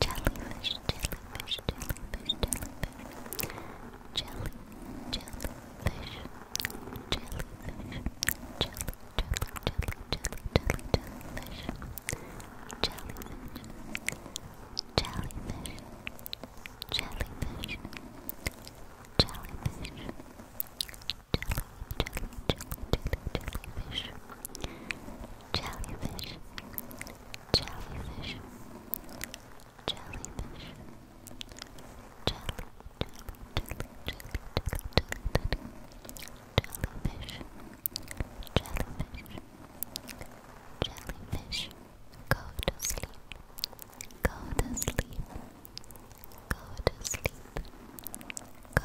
jellyfish, jellyfish, jellyfish, jellyfish, jelly, jellyfish, jellyfish, jelly, jelly, jelly, jelly, jellyfish, jellyfish, jellyfish, jellyfish, jellyfish, jelly, jelly, jelly, jellyfish jellyfish, jellyfish, jellyfish, jelly, jelly, jelly, jelly, jellyfish, jellyfish, jellyfish. Go to sleep. Go to sleep. Go to sleep. Go